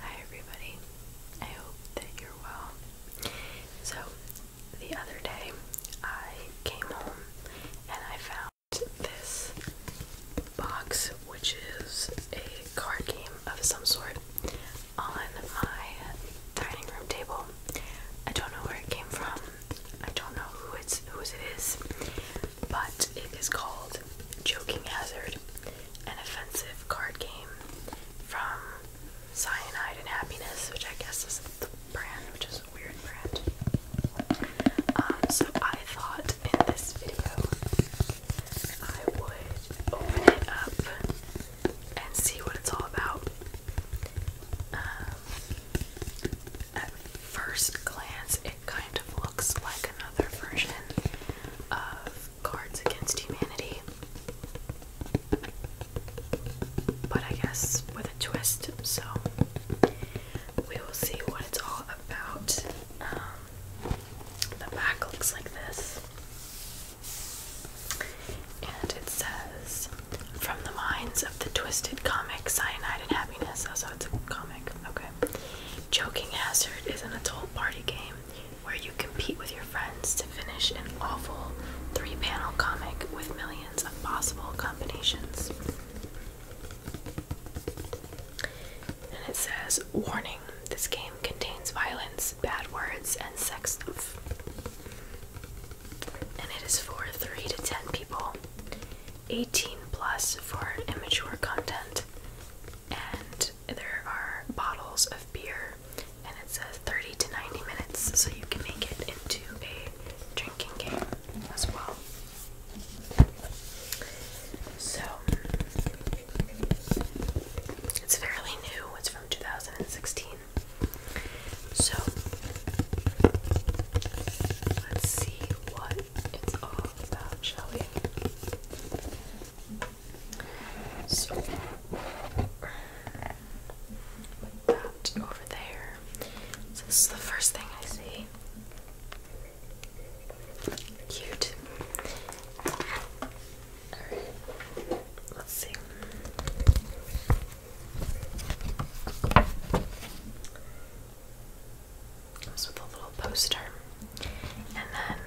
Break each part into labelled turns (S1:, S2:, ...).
S1: Hi, everybody. I hope that you're well. So, the other day I came home and I found this box, which is a card game of some sort on my dining room table. I don't know where it came from. I don't know who it's whose it is, but it is called Joking Hazard, an offensive card game from Cyanide and Happiness, which I guess is the brand, which is a weird brand. Um, so I thought in this video I would open it up and see what it's all about. Um, at first glance, it kind of looks like another version of Cards Against Humanity, but I guess with a twist, so we will see what it's all about. Um, the back looks like this. And it says, From the minds of the twisted comic Cyanide and Happiness. Also, oh, it's a comic. Okay. Joking Hazard is an adult party game where you compete with your friends to finish an awful three panel comic with millions of possible combinations. And it says, Warning this game contains violence, bad words, and sex stuff. And it is for 3 to 10 people, 18 plus for immature content, and there are bottles of beer, and it says 30 to 90 minutes, so you can make it into a drinking game as well. So, it's fairly new, 2016. So let's see what it's all about, shall we? So that over there. this is the first thing I see. Cute. Alright, let's see. Comes with a little poster. And then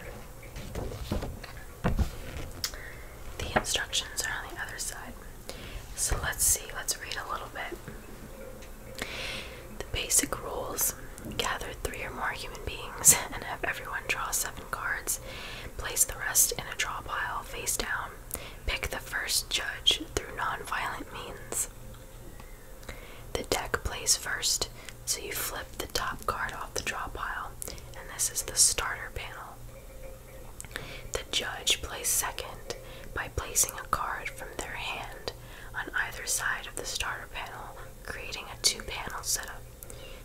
S1: the instructions are on the other side. So let's see, let's read a little bit. The basic rules gather three or more human beings and have everyone draw seven cards place the rest in a draw pile face down, pick the first judge through non-violent means. The deck plays first, so you flip the top card off the draw pile, and this is the starter panel. The judge plays second by placing a card from their hand on either side of the starter panel, creating a two panel setup.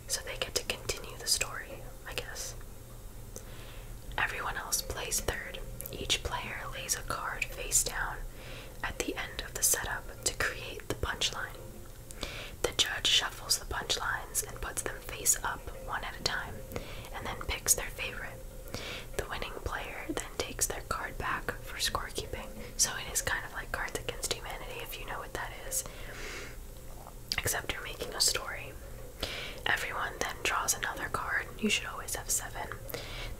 S1: So they get to continue the story, I guess. Everyone else plays third. Each player lays a card face down at the end of the setup to create the punchline. The judge shuffles the punchlines and puts them face up one at a time and then picks their favorite. The winning player then takes their card back for scorekeeping. So it is kind of like Cards Against Humanity if you know what that is except you're making a story. Everyone then draws another card. You should always have seven.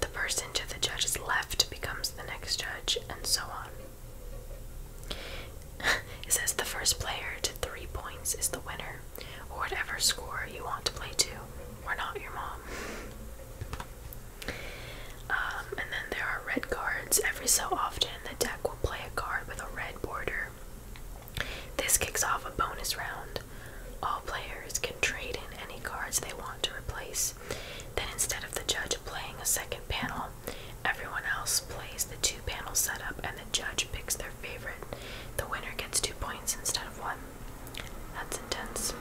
S1: The person to the judge's left becomes the next judge, and so on. it says the first player to three points is the winner, or whatever score you want to play to. We're not your mom. Um, and then there are red cards. Every so often, the deck will play a card with a red border. This kicks off a bonus round. All players can trade in any cards they want to replace. Then, instead of the judge playing a second panel, everyone else plays the two panel setup and the judge picks their favorite. The winner gets two points instead of one. That's intense.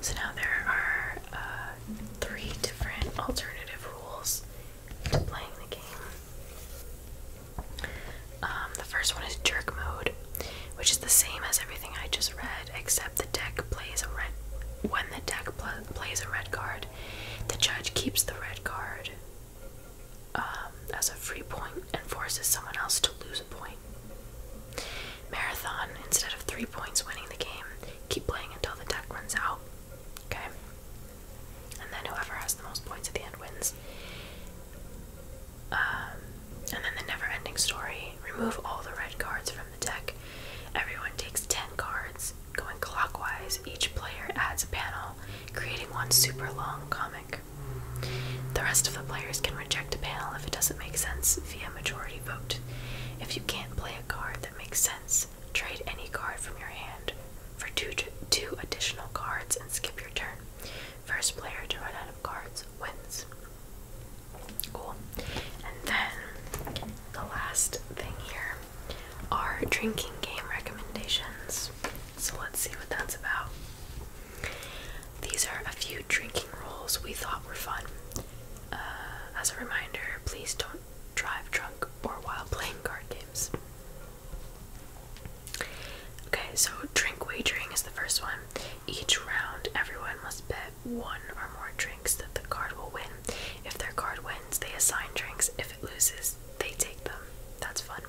S1: So now there are uh, three different alternative rules playing the game. Um, the first one is Jerk Mode, which is the same as everything I just read, except the deck plays a red. When the deck plays a red card, the judge keeps the red card um, as a free point and forces someone else to lose a point. Marathon, instead of three points winning the game, keep playing until the deck runs out. Okay? And then whoever has the most points at the end wins. Um, and then the never ending story remove all the red cards from the deck. Everyone takes 10 cards, going clockwise. Each player adds a panel, creating one super long comic. The rest of the players can reject a panel if it doesn't make sense via majority vote. If you can't play a card that makes sense, Trade any card from your hand for two, two additional cards and skip your turn. First player to run out of cards wins. Cool. And then the last thing here are drinking game recommendations. So let's see what that's about. These are a few drinking rules we thought were fun. Uh, as a reminder, please don't drive drunk or while playing card games. Okay, so drink wagering is the first one. Each round, everyone must bet one or more drinks that the card will win. If their card wins, they assign drinks. If it loses, they take them. That's fun.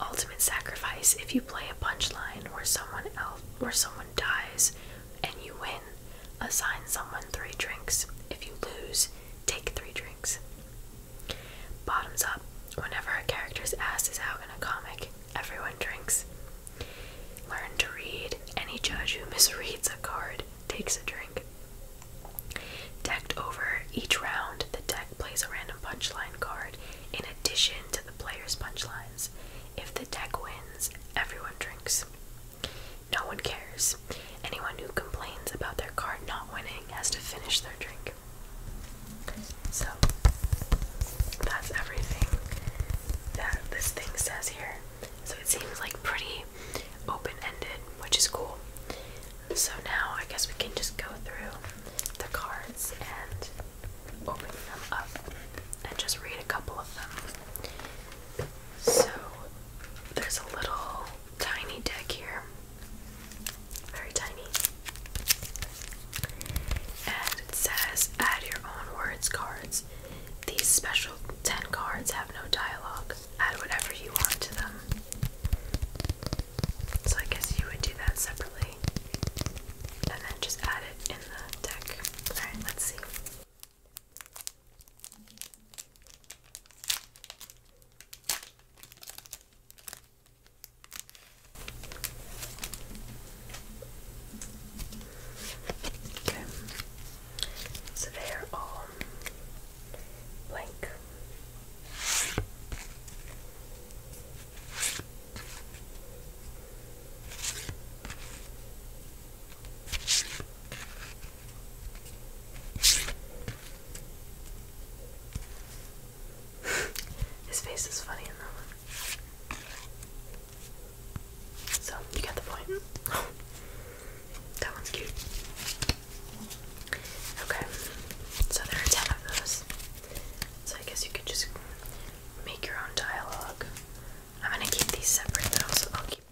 S1: Ultimate sacrifice: if you play a punchline or someone else or someone dies, and you win, assign someone three drinks. If you lose, take three drinks. Bottoms up. Whenever a character's ass is out in a comic, everyone drinks. Learn to read. Any judge who misreads a card takes a drink. Decked over. Each round, the deck plays a random punchline card in addition to the player's punchlines. If the deck wins, everyone drinks. No one cares. Anyone who complains about their card not winning has to finish their drink. So, that's everything that this thing says here. So, it seems like pretty open ended, which is cool. So, now I guess we can just go through the cards and open them up and just read a couple of them. So there's a little tiny deck here. Very tiny. And it says add your own words cards. These special 10 cards have no dialogue. Add whatever you want to them. So I guess you would do that separately. And then just add it in the deck. Alright, let's see. Okay. So they're all blank. His face is funny in that one. So, you get the point. that one's cute. Okay, so there are 10 of those. So, I guess you could just make your own dialogue. I'm gonna keep these separate though, so I'll keep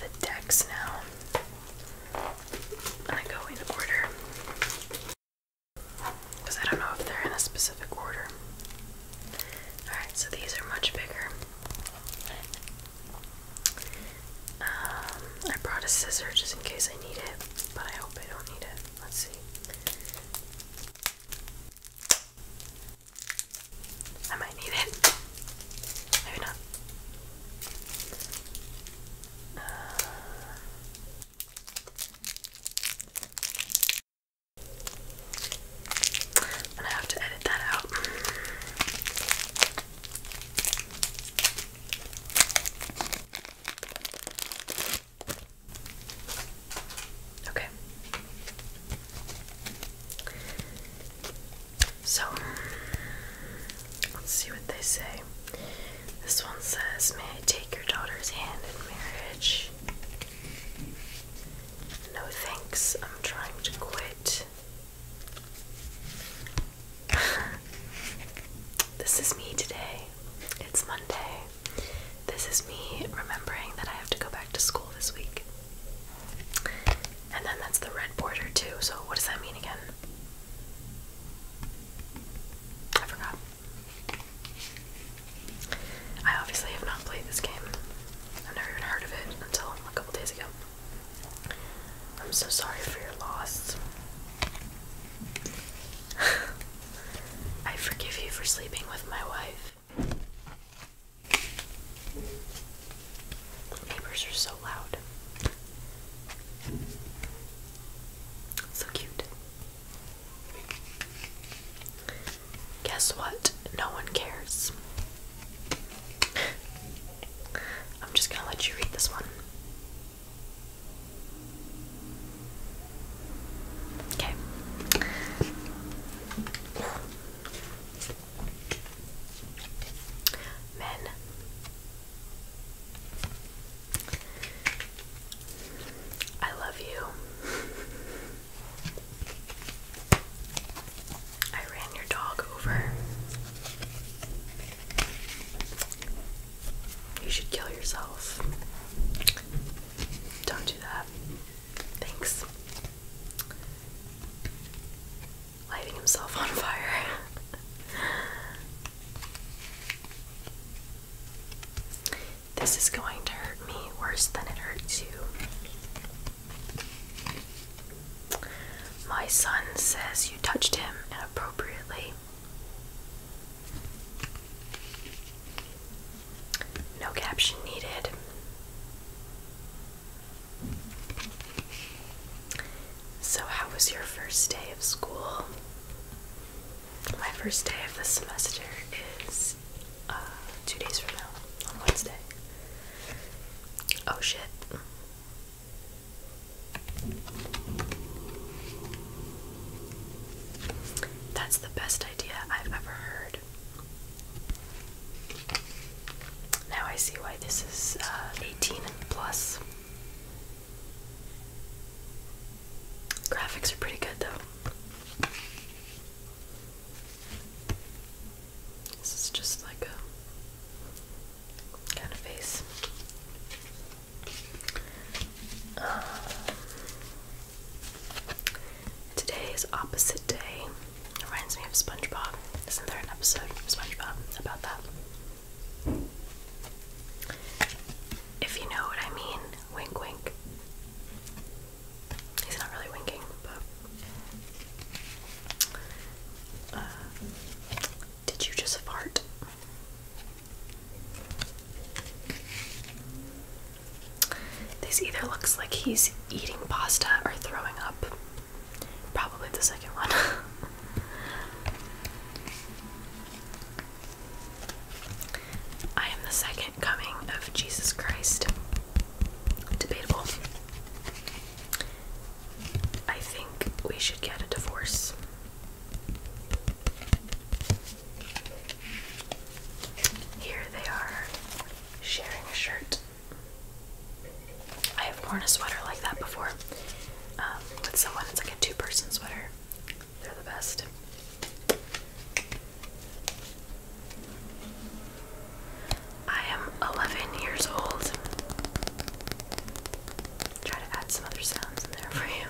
S1: the decks now. And I go in order. Because I don't know if they're in a specific order. Alright, so these are much bigger. Um, I brought a scissor just in case I need it, but I hope I don't need it. Let's see. I might need it. Maybe not i have to edit that out. Okay. So, let's see what they say. This one says, May I take your daughter's hand in marriage? No thanks, I'm trying to quit. this is me today. It's Monday. This is me remembering that I have to go back to school this week. And then that's the red border too. So what does that mean again? I
S2: forgot. I obviously have not
S1: played this game. I've never even heard of it until a couple days ago. I'm so sorry for your loss. I forgive you for sleeping with my wife. Neighbors are so loud. So cute. Guess what? No one cares. I'm just gonna let you read this one. Okay. Men. I love you. I ran your dog over. You should kill yourself. Don't do that. Thanks lighting himself on fire. this is going to hurt me worse than it hurts you. My son says you touched him inappropriately. No caption needed. So, how was your first day of school? My first day of the semester is uh, two days from now, on Wednesday. Oh shit. That's the best idea I've ever heard. Now I see why this is uh, 18 and plus. Graphics are pretty good though. This is just like a kind of face. Um, today is opposite day. Reminds me of SpongeBob. Isn't there an episode of SpongeBob about that? If you know what I mean, wink wink. He's not really winking, uh, did you just fart? This either looks like he's eating pasta or throwing up. Probably the second one. I am the second coming of Jesus Christ. Debatable. I think we should get a divorce. Here they are sharing a shirt. I have worn a sweater like that before um, with someone. It's like a two person sweater. They're the best. I am 11 years old. Try to add some other sounds in there for you.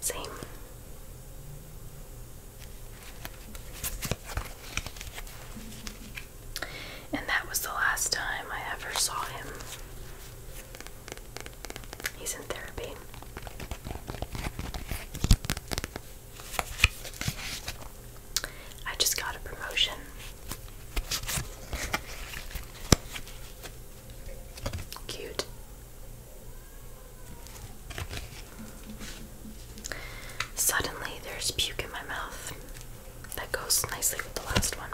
S1: Same. And that was the last time I ever saw him. He's in therapy. I just got a promotion. Cute. Suddenly, there's puke in my mouth. That goes nicely with the last one.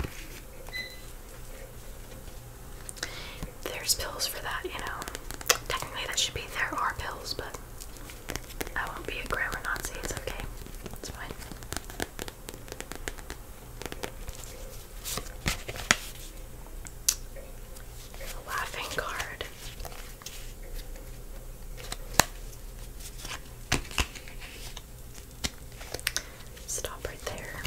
S1: There's pills for that, you know. Technically, that should be there are pills, but I won't be a grammar Nazi. It's okay. It's fine. laughing card. Stop right there.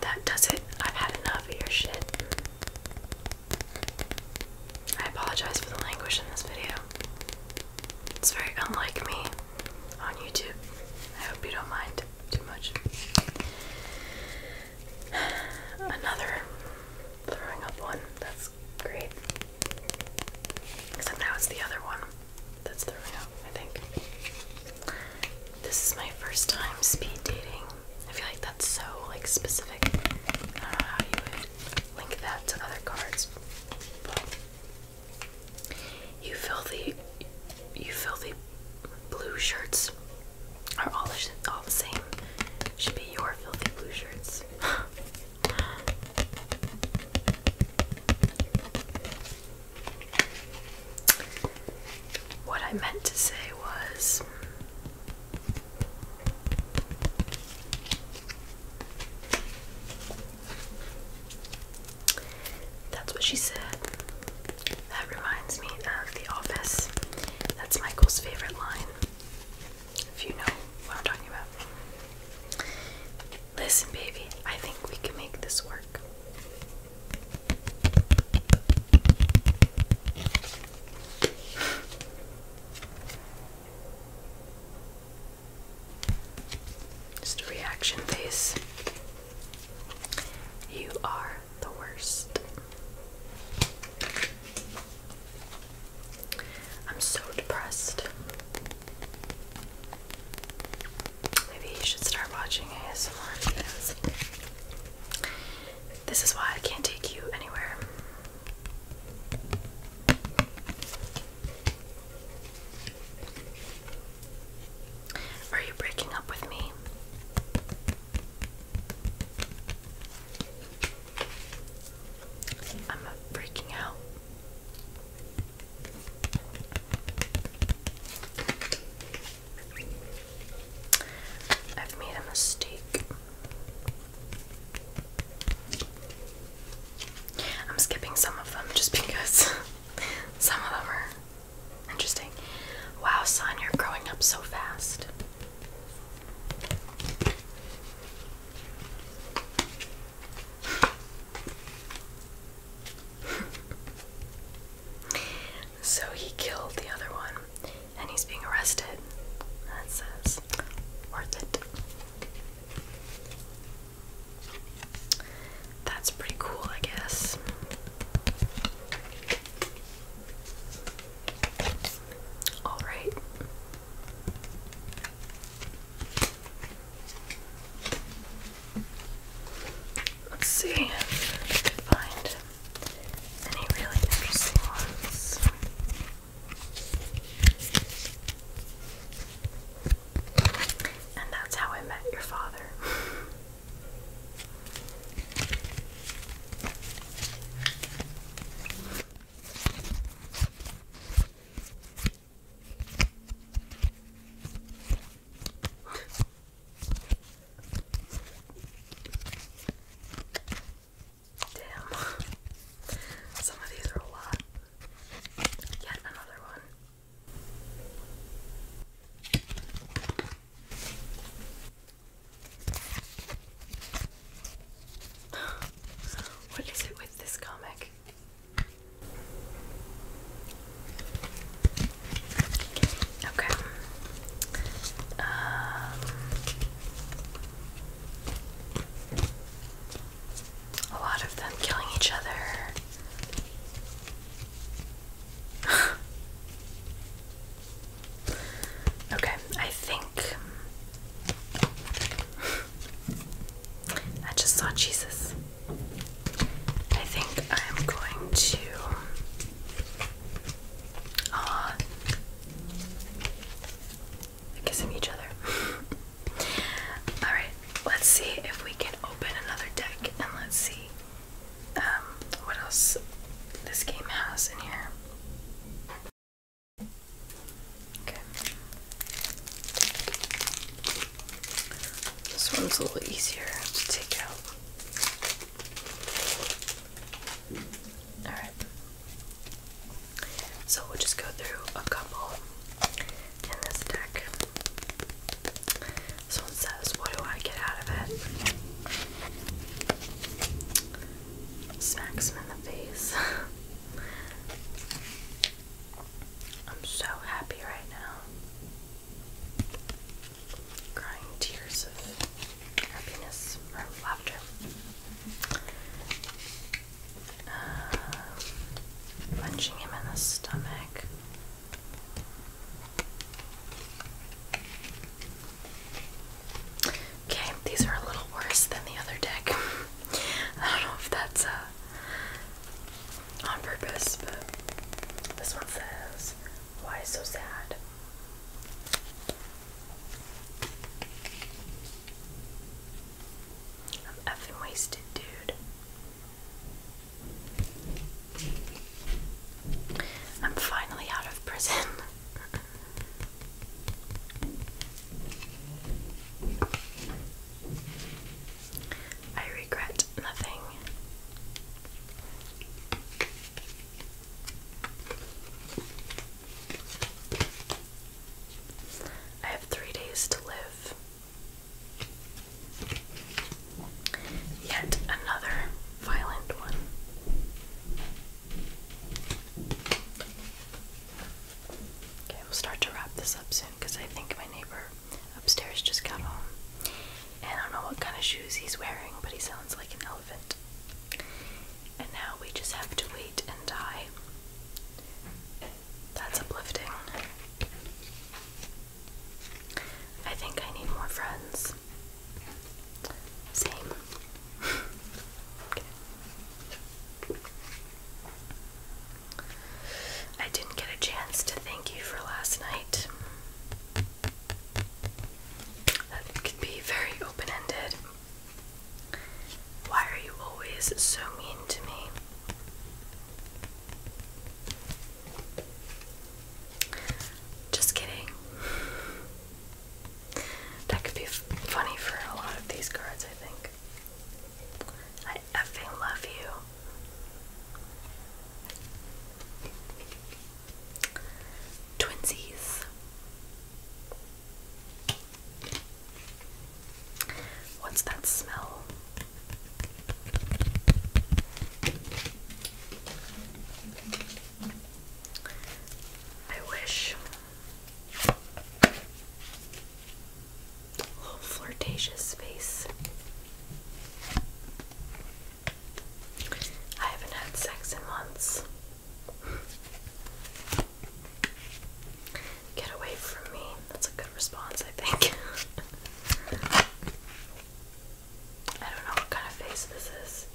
S1: That does it. I've had enough of your shit. I apologize for the language in this video. It's very unlike me on YouTube. I hope you don't mind too much. Another throwing up one. That's great. Except now it's the other one that's throwing up, I think. This is my first time speed dating. I feel like that's so like specific. I don't know how you would link that to other cards, you filthy, you filthy blue shirts are all all the same. Should be your filthy blue shirts. what I meant to say was. That's what she said. That reminds me of The Office. That's Michael's favorite line. If you know what I'm talking about. Listen, baby, I think we can make this work. Just a reaction face. You are the worst. I'm so depressed. Maybe you should start watching ASMR This is why I can't take you anywhere. Are you breaking up with me? I'm breaking out. I've made a mistake. I'm skipping some of them just because some of them are interesting. Wow, son, you're growing up so fast. so he killed the other one and he's being arrested. That says worth it. That's pretty cool, I guess. All right. Let's see if I can find any really interesting ones. And that's how I met your father. Damn. Some of these are a lot. Yet another one. what is it with this comic? Okay. Um, a lot of them killing each other. okay, I think I just saw Jesus. I think I'm going to. Uh, kissing each other. Alright, let's see if we can open another deck and let's see um, what else this game has in here. Okay. This one's a little easier to take out. Alright. So we'll just go through a couple in this deck. This one says, What do I get out of it? Smacks him in the face. I'm so happy right now. Crying tears of happiness or laughter. Uh, punching him in the stomach. Okay, these are a little worse than the other deck. I don't know if that's uh, on purpose, but this one says, Why so sad? I'm effing wasted, dude. I'm finally out of prison. I regret nothing. I have three days to live. Yet another violent one. Okay, we'll start to wrap this up soon because I think my neighbor upstairs just got home. And I don't know what kind of shoes he's wearing, but he sounds like an elephant. And now we just have to wait and die. That's uplifting. I think I need more friends. Same. I didn't get a chance to thank you for last night. That can be very open ended. Why are you always so mean to me? Just kidding. That could be funny for a lot of these cards, I think. I effing love you. Twinsies. What's that smell? I wish flirtatious face. I haven't had sex in months. Get away from me. That's a good response, I think. I don't know what kind of face this is.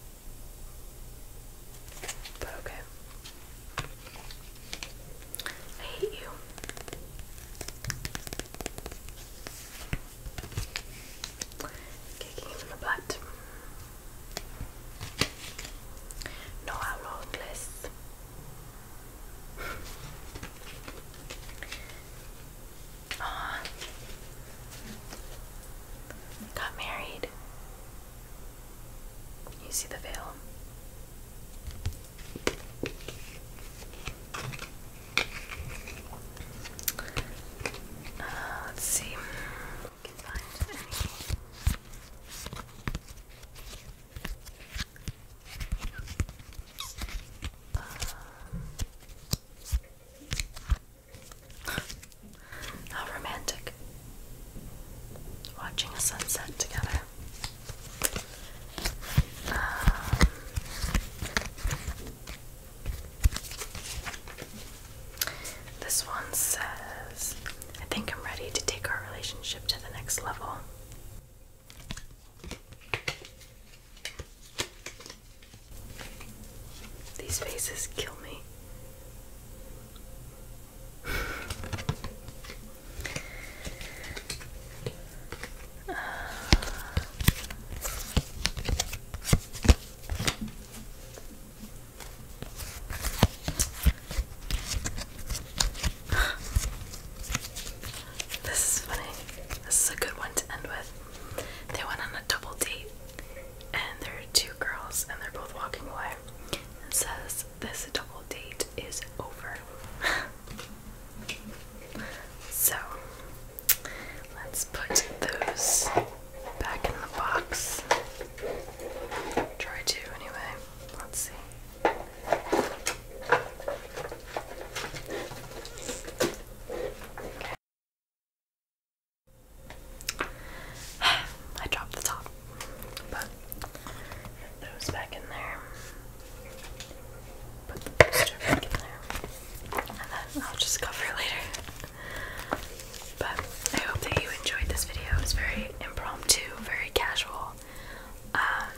S1: But okay. I hate you. Kicking him in the butt. No hablo inglés. Got married. You see the veil? Uh, let's see. Uh, how romantic. Watching a sunset together. Um, this one says, I think I'm ready to take our relationship to the next level. These faces kill me. This is funny. This is a good one to end with. They went on a double date, and there are two girls, and they're both walking away. And says, This double date is over. so, let's put those back in the box. Try to, anyway. Let's see. I dropped the top, but it goes back in there. Put the booster back in there, and then I'll just cover it later. But I hope that you enjoyed this video. It was very impromptu, very casual. Um,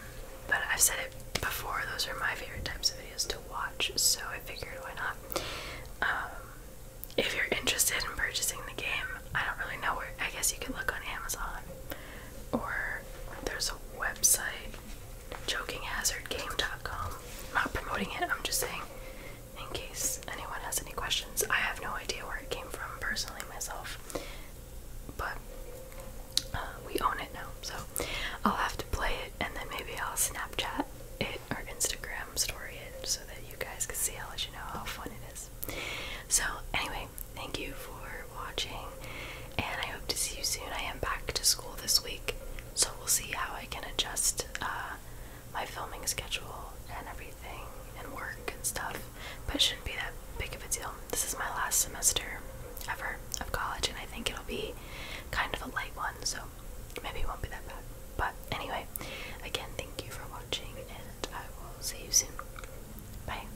S1: but I've said it before, those are my favorite types of videos to watch, so I figured why not. Um, if you're interested in purchasing the game, I don't really know where, I guess you can look on Amazon or there's a website, jokinghazardgame.com. I'm not promoting it, I'm just saying in case anyone has any questions. I have no idea where it came from personally myself but uh, we own it now, so I'll have to play it and then maybe I'll Snapchat it or Instagram story it so that you guys can see. I'll let you know how fun it is. So, anyway, thank you for watching and I hope to see you soon. I am back to school this week, so we'll see how I can adjust uh, my filming schedule and everything and work and stuff but it shouldn't be that big of a deal. This is my last semester ever of college, and I think it'll be kind of a light one, so maybe it won't be that bad. But anyway, again, thank you for watching, and I will see you soon. Bye.